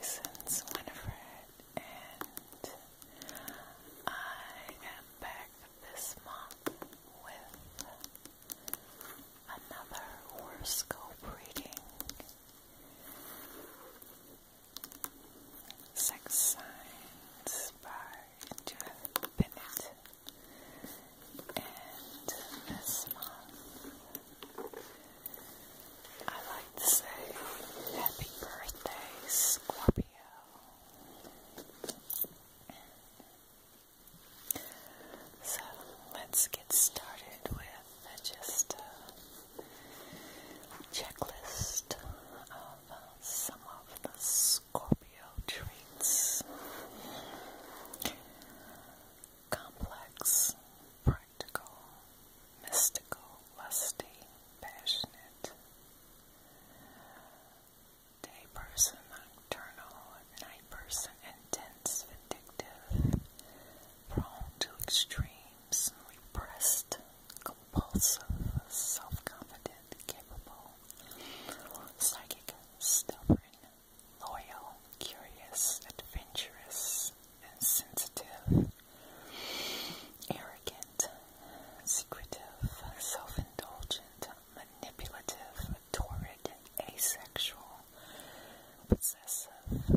since Winifred, and I am back this month with another horoscope reading. Sex Signs by Judith Bennett. And this month I like to say happy birthday, Scorpio. So let's get started with just a checklist of uh, some of the Scorpio traits. Complex, practical, mystical, lusty, passionate. Day person, nocturnal, night person, intense, vindictive, prone to extremes, repressed, compulsive, self-confident, capable, psychic, stubborn, loyal, curious, adventurous, insensitive, arrogant, secretive, self-indulgent, manipulative, torrid, asexual, possessive,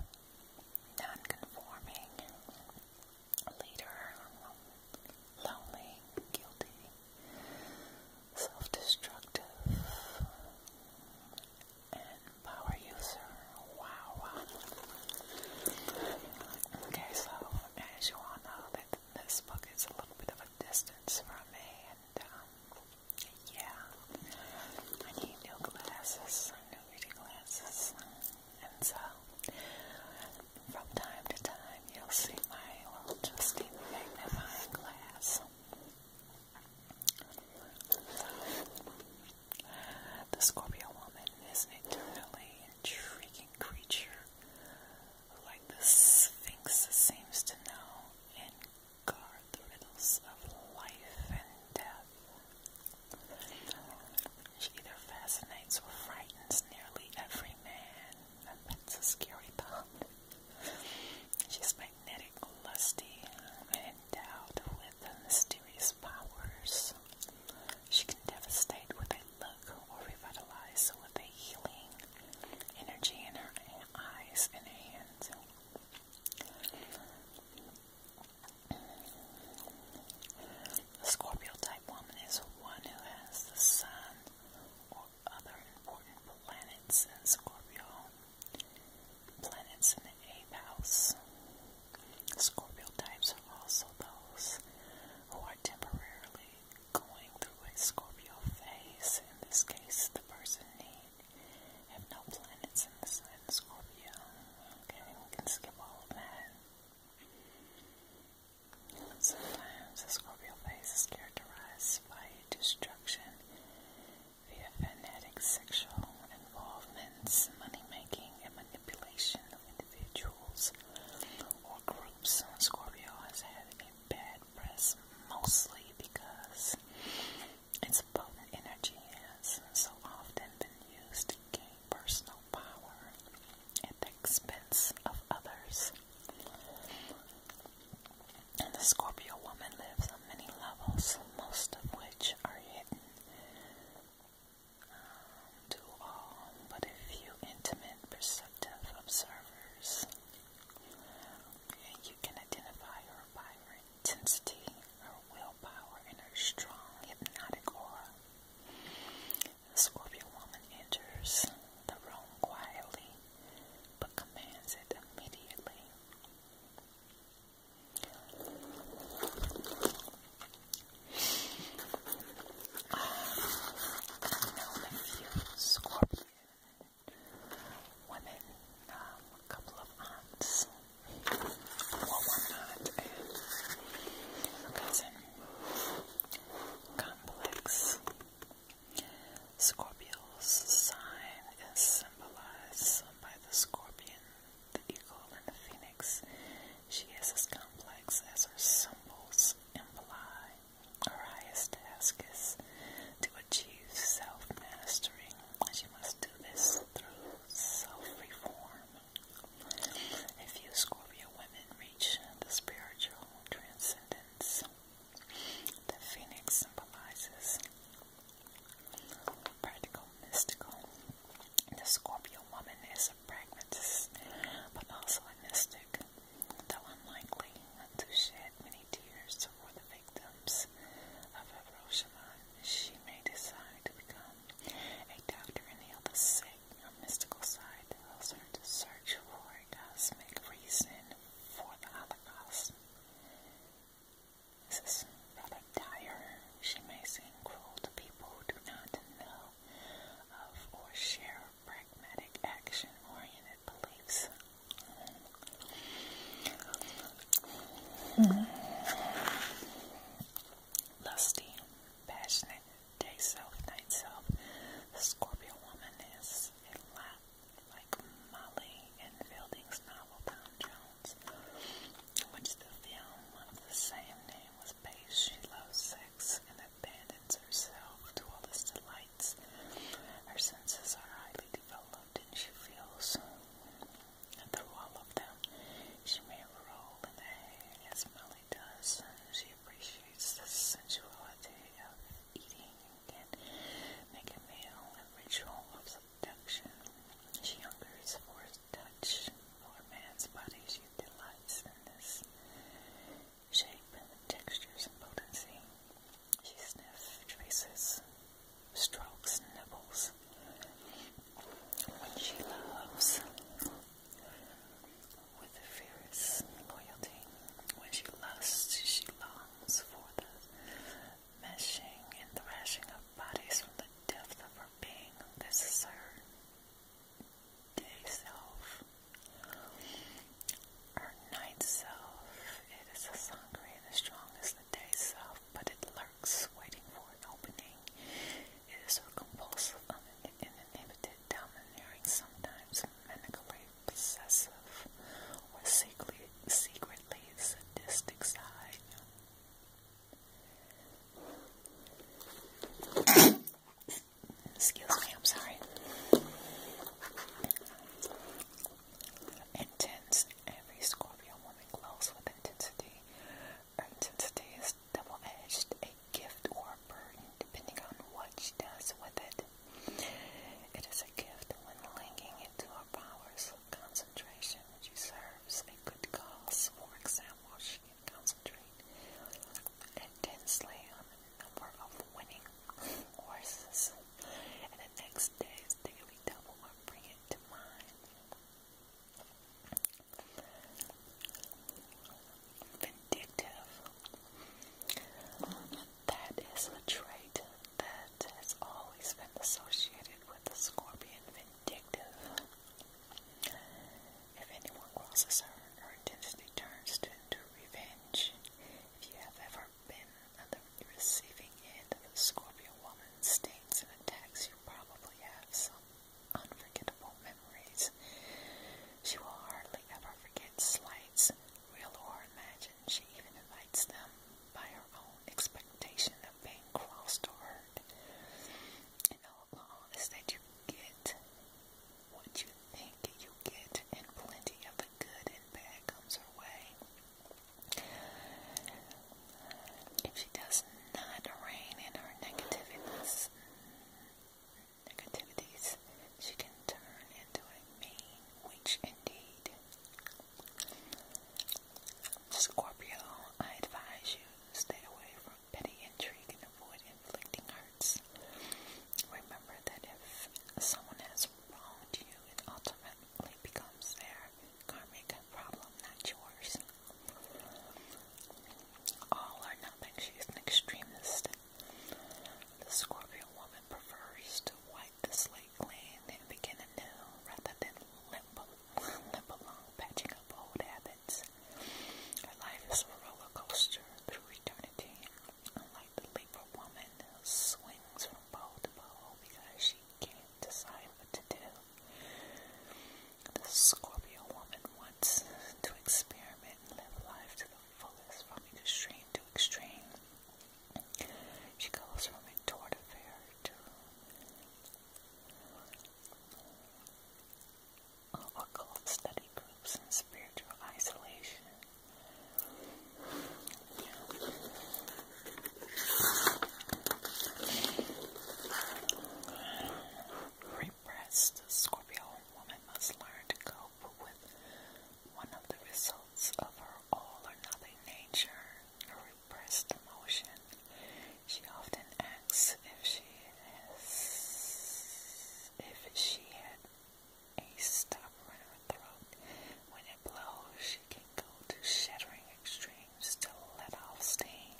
non-conforming, leader, lonely, guilty, self-destructive, and power user. Wow, wow. Okay, so as you all know, that this book is a little bit of a distance from me, and um, yeah, I need new glasses, new reading glasses, and so from time to time you'll see my little Justine magnifying glass. The Scorpio woman is an eternally intriguing creature like the Sphinx, seems to know and guard the riddles of life and death. She either fascinates or frightens nearly every man, and that's a scary thought. She's magnetic, lusty, and endowed with mysterious powers. She can devastate with a look or revitalize with a healing energy in her eyes and hands. The Scorpio type woman is one who has the sun or other important planets in Scorpio Planets in the eighth house. Scorpio types are also those who are temporarily going through a Scorpio phase. In this case, the person need have no planets in the sign Scorpio. Okay, we can skip all of that. Sometimes the Scorpio phase is characterized by destruction their fanatic sexual involvements, money making, and manipulation of individuals or groups. Scorpio has had a bad press mostly because its potent energy has so often been used to gain personal power at the expense of others. And the Scorpio woman lives on many levels, most of which are hidden to um, all but a few intimate perceptive observers. You can identify her by her intensity, her willpower, and her strong hypnotic aura. The scorpion woman enters the room quietly but commands it immediately i women, a couple of aunts, well, one aunt and cousin. Complex Scorpio's sign is symbolized by the scorpion the eagle, and the phoenix. She is as complex as her symbols imply. Her highest task is to achieve self mastery. She must do this through self reform. A few Scorpio women reach the spiritual transcendence. The phoenix symbolizes Practical, mystical. The Scorpio woman is a pragmatist, but also a mystic, though unlikely to shed many tears for the victims of Hiroshima. She may decide to become a doctor and heal the sick. Her mystical side tells to search for a cosmic reason for the Holocaust. This is rather dire. She may seem cruel to people who do not know of or share pragmatic action-oriented beliefs. Mm-hmm. Lusty, passionate, day self, night self. The Scorpio woman is a lot like Molly in Fielding's novel Tom Jones which the film of the same name was based, she loves sex and abandons herself to all its delights. Her senses are highly developed, and she feels through all of them. She may roll in the hay as Molly does. She appreciates the sensuality of eating and can meal a ritual of seduction. She hungers for touch, for man's body. She delights in this shape and textures and potency. She sniffs, traces, strokes, nibbles. When she loves with the fierce loyalty, when she lusts, she longs for the meshing and thrashing of bodies from the depth of her being. This is her day self, her night self. It is a sangre and as strong as the day self, but it lurks, waiting for an opening. It is so compulsive, and uninhibited, domineering, sometimes manically possessive, or secretly, secretly sadistic side. Excuse me, I'm sorry. Intense. Every Scorpio woman glows with intensity. intensity is double edged, a gift or a burden, depending on what she does with it. It is a gift when linking it to more powers of concentration that you serves and good cause. For example, she can concentrate intensely on the number of winning horses, and the next day's they can be double or bring it to mind. Vindictive. That is a trait that Lent has always been associated with the scorpion vindictive. If anyone crosses her, her intensity turns to into revenge. If you have ever been on the receiving end of a scorpion woman stings and attacks, you probably have some unforgettable memories. She will hardly ever forget slights, real or imagined. She even invites them by her own expectation of being crossed or And all along is that you get what you think you get, and plenty of the good and bad comes her way. If she does not rain in her negativities, negativities, she can turn into a mean which indeed. Scorpio, I advise you to stay away from petty intrigue and avoid inflicting hurts. Remember that if someone has wronged you, it automatically becomes their karmic problem, not yours. All or nothing, she an extremist. The Scorpio woman prefers to white wipe the slate clean and begin anew rather than limp, limp along, patching up old habits. Her life is a roller coaster through eternity, unlike the Libra woman swings from pole to pole because she can't decide what to do. The Scorpio woman wants to experiment and live life to the fullest, from extreme to extreme. She goes from a tort affair to occult study groups and spiritual isolation. Repressed Scorpio woman must learn to cope with one of the results of her all or nothing nature, repressed emotion. She often acts if she has, if she had a stopper in her throat. When it blows, she can go to shattering extremes to let off steam.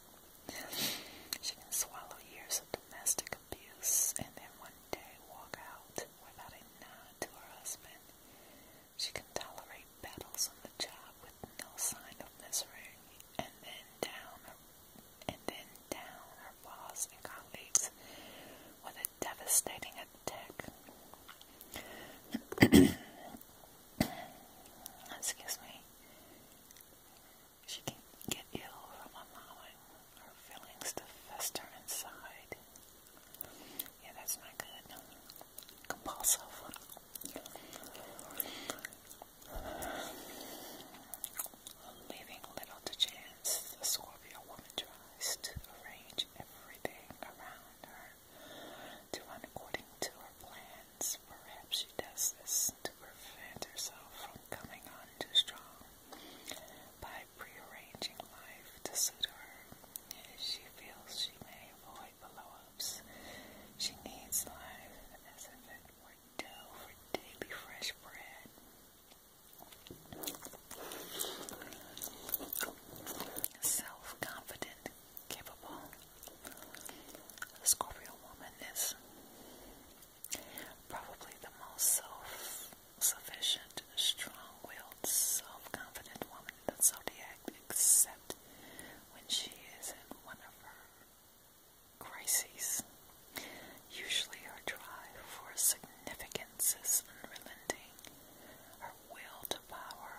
She can swallow years of domestic abuse and then one day walk out without a nod to her husband. She can tolerate battles on the job with no sign of misery, and then down and then down her boss and colleagues with a devastating attack. Excuse me. She can get ill from allowing her feelings to fester inside. Yeah, that's not good. Compulsive. Leaving little to chance, the Scorpio woman tries to arrange everything around her to run according to her plans. Perhaps she does this to prevent herself from coming on too strong by prearranging life to suit her. She feels she may avoid below she needs life as if it were dough for daily fresh bread. Self confident, capable. The Scorpio woman is probably the most self sufficient, strong willed self-confident woman in the zodiac, except when she is in one of her crises. Usually her drive for significances is unrelenting, her will to power,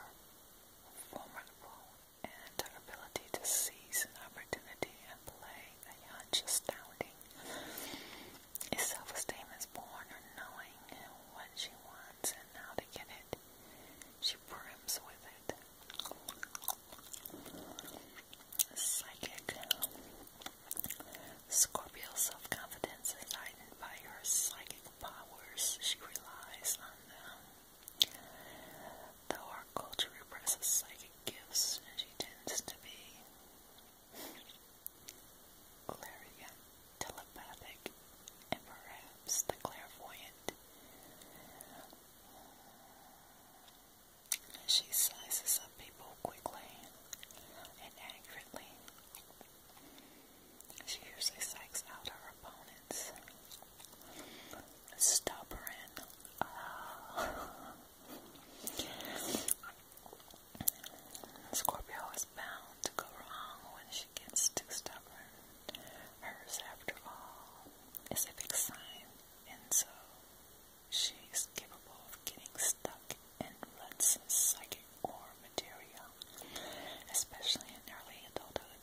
formidable, and her ability to seize an opportunity and play a hunch astounding. His self-esteem is born on knowing what she wants and how to get it. She brims with it. Psychic. Scorpio self-confidence is heightened by her psychic powers. She relies on them. Though our culture represses psychic gifts, she tends to be clairvoyant telepathic, and the clairvoyant. She sizes up people quickly and accurately. She usually psychs out her opponents. Stubborn. Uh, Scorpio is bound to go wrong when she gets too stubborn. Hers, after all, is a sign, and so she's capable of getting stuck in lots psychic or material, especially in early adulthood.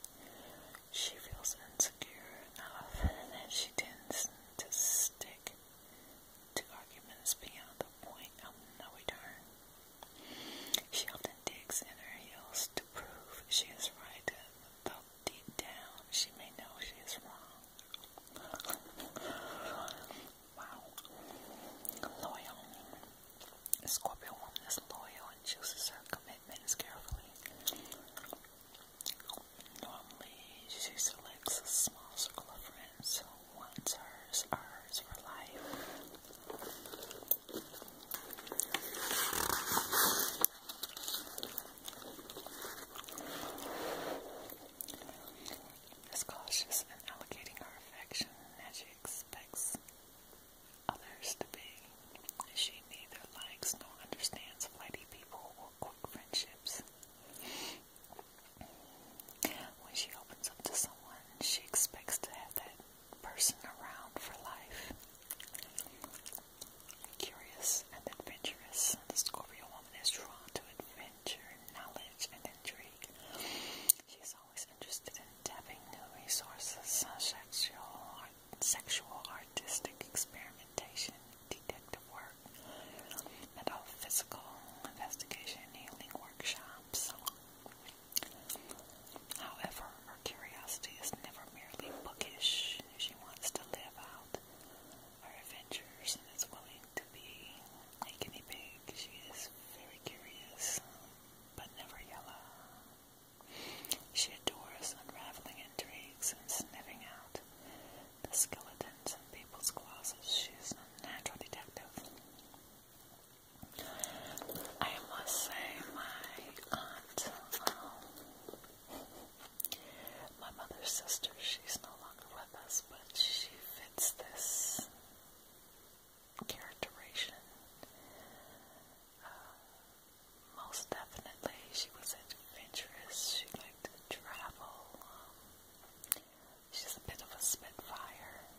She feels insecure enough that she tends to stick to arguments beyond the point of no return. She often digs in her heels to prove she is right, though deep down she may know she is wrong. wow. Loyal. Scorpio woman is loyal and chooses her commitments carefully. Normally, she selects a small circle of friends who once hers are for life. Is cautious in allocating her affection as she expects others to be. She neither likes nor understands flighty people or quick friendships. When she opens up to someone, she expects to have that person around for life. Curious and adventurous, the Scorpio woman is drawn to adventure, knowledge, and intrigue. She is always interested in tapping new resources, sexual, art, sexual artistic experimentation, detective work, metaphysical investigation, healing workshops. However, her curiosity is never merely bookish. She wants to live out her adventures and is willing to be a guinea pig. She is very curious, but never yellow. She adores unraveling intrigues and sniffing out the skeletons in people's closets. She is a natural detective. I must say, my aunt, um, my mother's sister, she's no longer with us, but she fits this characterization uh, most definitely. She was adventurous, she liked to travel. Um, she's a bit of a spitfire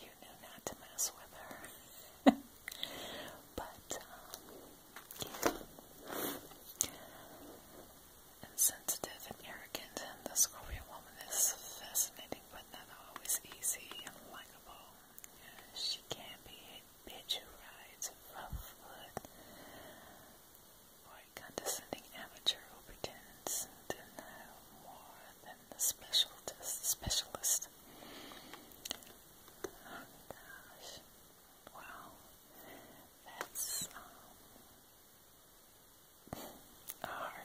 you knew not to mess with her. but, um, yeah. Insensitive and arrogant, and the Korean woman is fascinating but not always easy and likable. She can be a bitch who rides rough foot or a condescending amateur who pretends to know more then the specialist. Specialist. Oh, wow, that's um,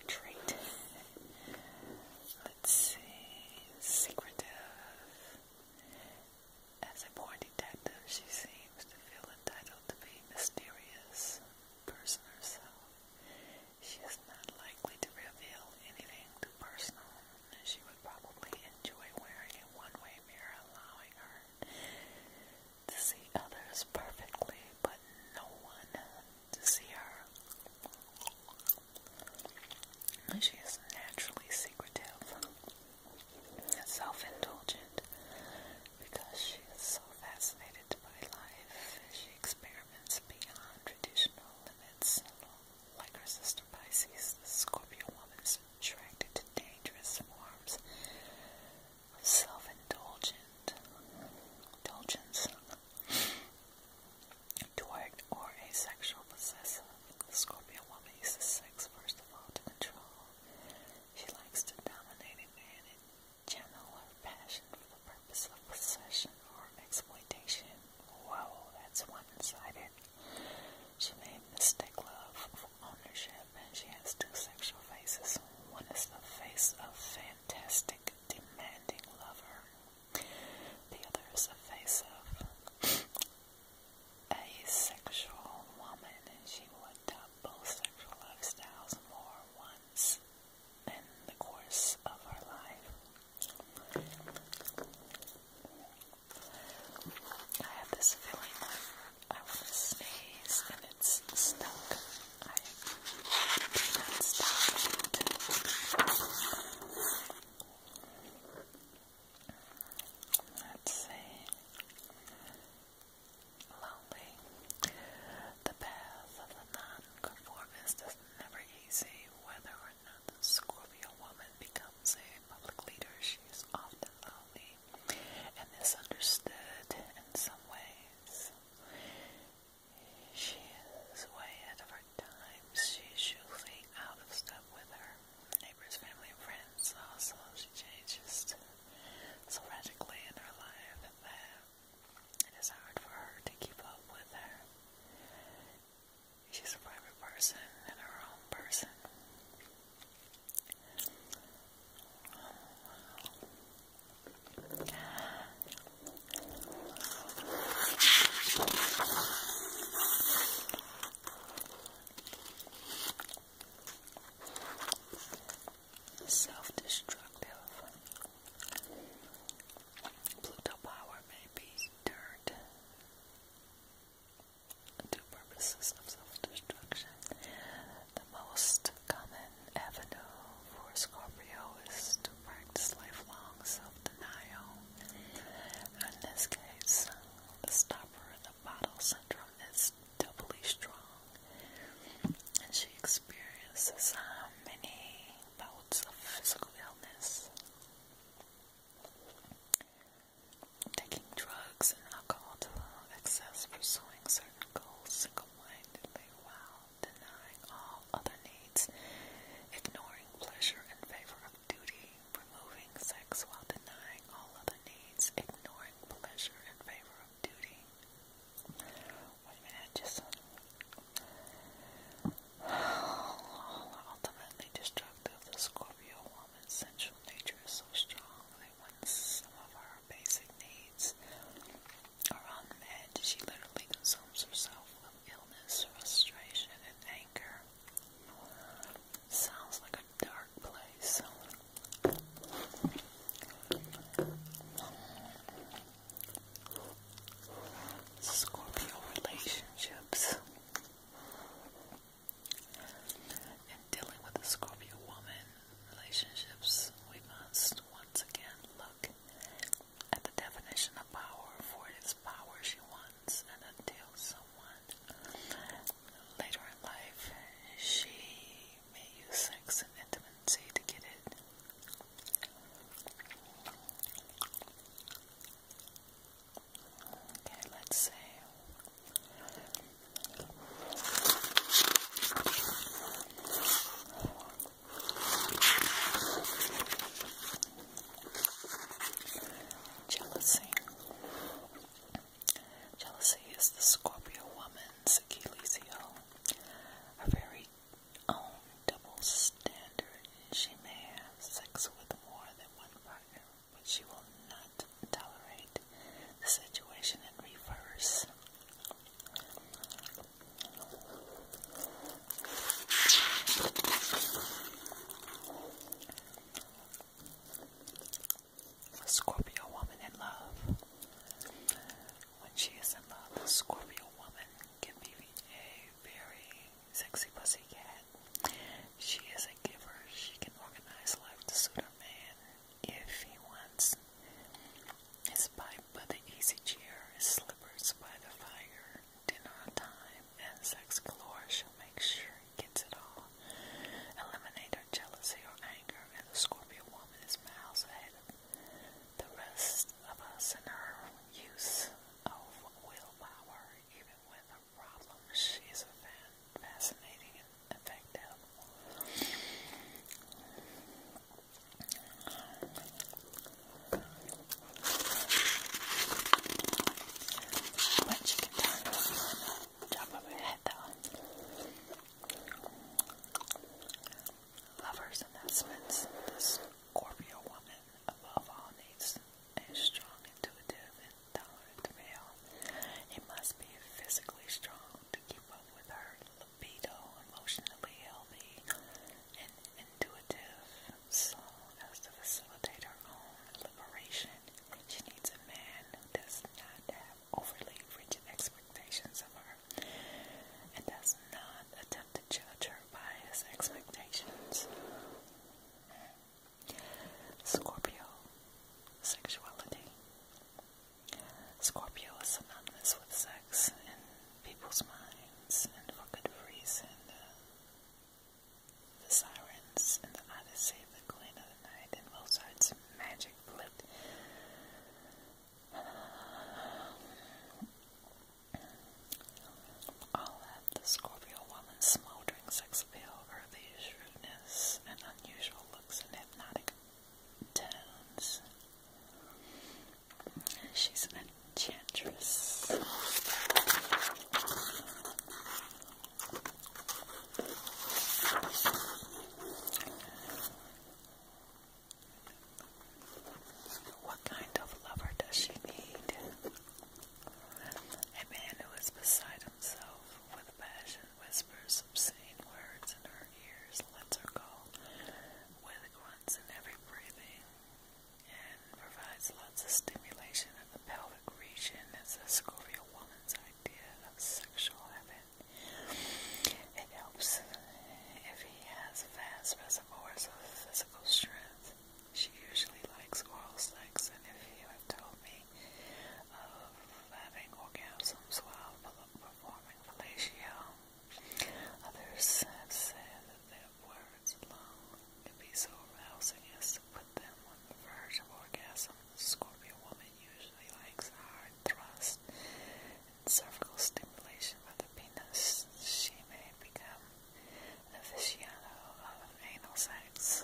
trait. Let's see, secretive. As a born detective, she seems to feel entitled to be mysterious person herself. She is not likely to reveal anything too personal, she would probably enjoy wearing a one-way mirror, allowing her to see others perfectly, but no one to see her. She is naturally secretive self-indulgent because she is so fascinated guided by life as she experiments beyond traditional limits. Like her sister Pisces, the Scorpio woman is attracted to dangerous forms of self-indulgent indulgence toward or asexual possessive. The Scorpio woman uses sex first of all to control. She likes to dominate a man and channel her passion for the is a possession or exploitation. Whoa, that's one-sided. She may mistake love for ownership, and she has two sexual faces. One is the face of fantastic, demanding lover. The other is the face of asexual woman, and she will adopt both sexual lifestyles more once in the course of her life. I have this feeling I want to sneeze and it's stuck. I cannot stop Let's see. Lonely. The path of the non-conformist is it's never easy whether or not the Scorpio woman becomes a public leader. She is often lonely and misunderstood in some ways. She is way ahead of her time. She's usually out of step with her neighbors, family, and friends. Also, she changes so radically in her life that it is hard for her to keep up with her. She's a private person and her own person. Self destructive. Pluto power may be turned to purposes of self-destruction. The most common avenue for Scorpio is to practice lifelong self-denial. In this case, the stopper of the bottle syndrome is doubly strong, and she experiences uh, many bouts of physical illness. Taking drugs and alcohol to little excess, pursuing certain goals single-mindedly while denying all other needs, ignoring pleasure in favor of duty, removing sex while denying all other needs, ignoring pleasure in favor of duty ultimately destructive, the Scorpio woman's sensual nature is so strong that when some of her basic needs are unmet, she literally consumes herself with illness, frustration, and anger. Sounds like a dark place. Scorpio relationships and dealing with the Scorpio woman relationships, we must once again look at the definition of power, for it is power she wants, and until someone later in life she may use sex and intimacy to get it. Okay, let's see. Jealousy. Jealousy is the Scorpio woman's Achilles heel, a very own double standard. She may have sex with more than one partner, but she will not tolerate the situation in reverse. A Scorpio woman in love. When she is in love, the Scorpio woman can be a very sexy pussy cat. She is a giver. She can organize life to suit her man if he wants. His pipe by the easy chair, his slippers by the fire, dinner on time, and sex galore. She'll make sure he gets it all. Eliminate her jealousy or anger, and the Scorpio woman is miles ahead of the rest of us in her use of willpower, even when the problems, she's a fan, fascinating and effective. But she can turn around on top of Lovers and husbands, this Scorpio woman above all needs a strong, intuitive, and tolerant male. He must be physically strong to keep up with her libido, emotionally healthy, and intuitive, so as to facilitate her own liberation. She needs a man who does not have overly rigid expectations of her and does not attempt to judge her by his expectations. Scorpio sexuality. Scorpio is synonymous with sex in people's minds, and for good reason. The, the sirens and the save the Queen of the Night, and also its magic flipped I'll let the Scorpio woman's smoldering sex appeal, earthy shrewdness, and unusual looks and hypnotic tones. She's an enchantress. What kind of lover does she need? A man who is beside himself with passion, whispers obscene words in her ears, lets her go with grunts in every breathing, and provides lots of stimulation in the pelvic region It's a Scorpio woman's idea of sexual heaven. It helps if he has a fast has more of a physical strength. She usually likes oral sex, and if you have told me of having orgasms while performing fellatio, others have said that their words alone can be so arousing as to put them on the verge of orgasm. The Scorpio woman usually likes hard thrust cervical stimulation by the penis, she may become an aficionado of anal sex.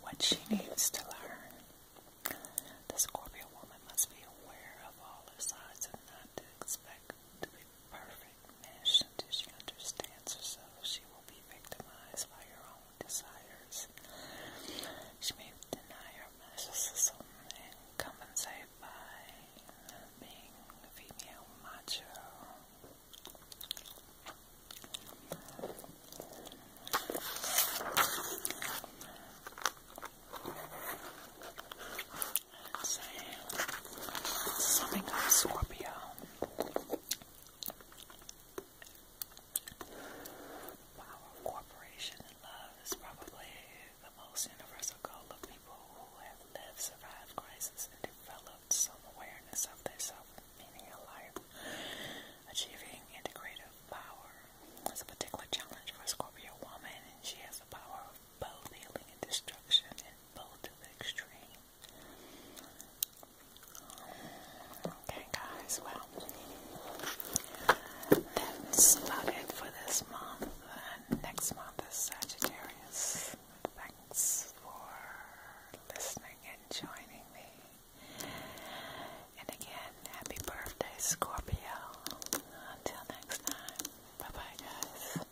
What she needs to learn. The Scorpio woman must be aware of all her sides and not to expect perfect mesh until she understands herself. She will be victimized by her own desires. She may deny her narcissism and compensate by being female macho. Let's Something of Scorpio. Power of cooperation and love is probably the most universal goal of people who have lived, survived crisis, and developed some awareness of their self meaning alive, life. Achieving integrative power is a particular challenge for a Scorpio woman, and she has the power of both healing and destruction in both to the extreme. Okay, guys, well, that's about it for this month. next month is Sagittarius. Thanks for listening and joining me. And again, happy birthday, Scorpio. Until next time, bye bye, guys.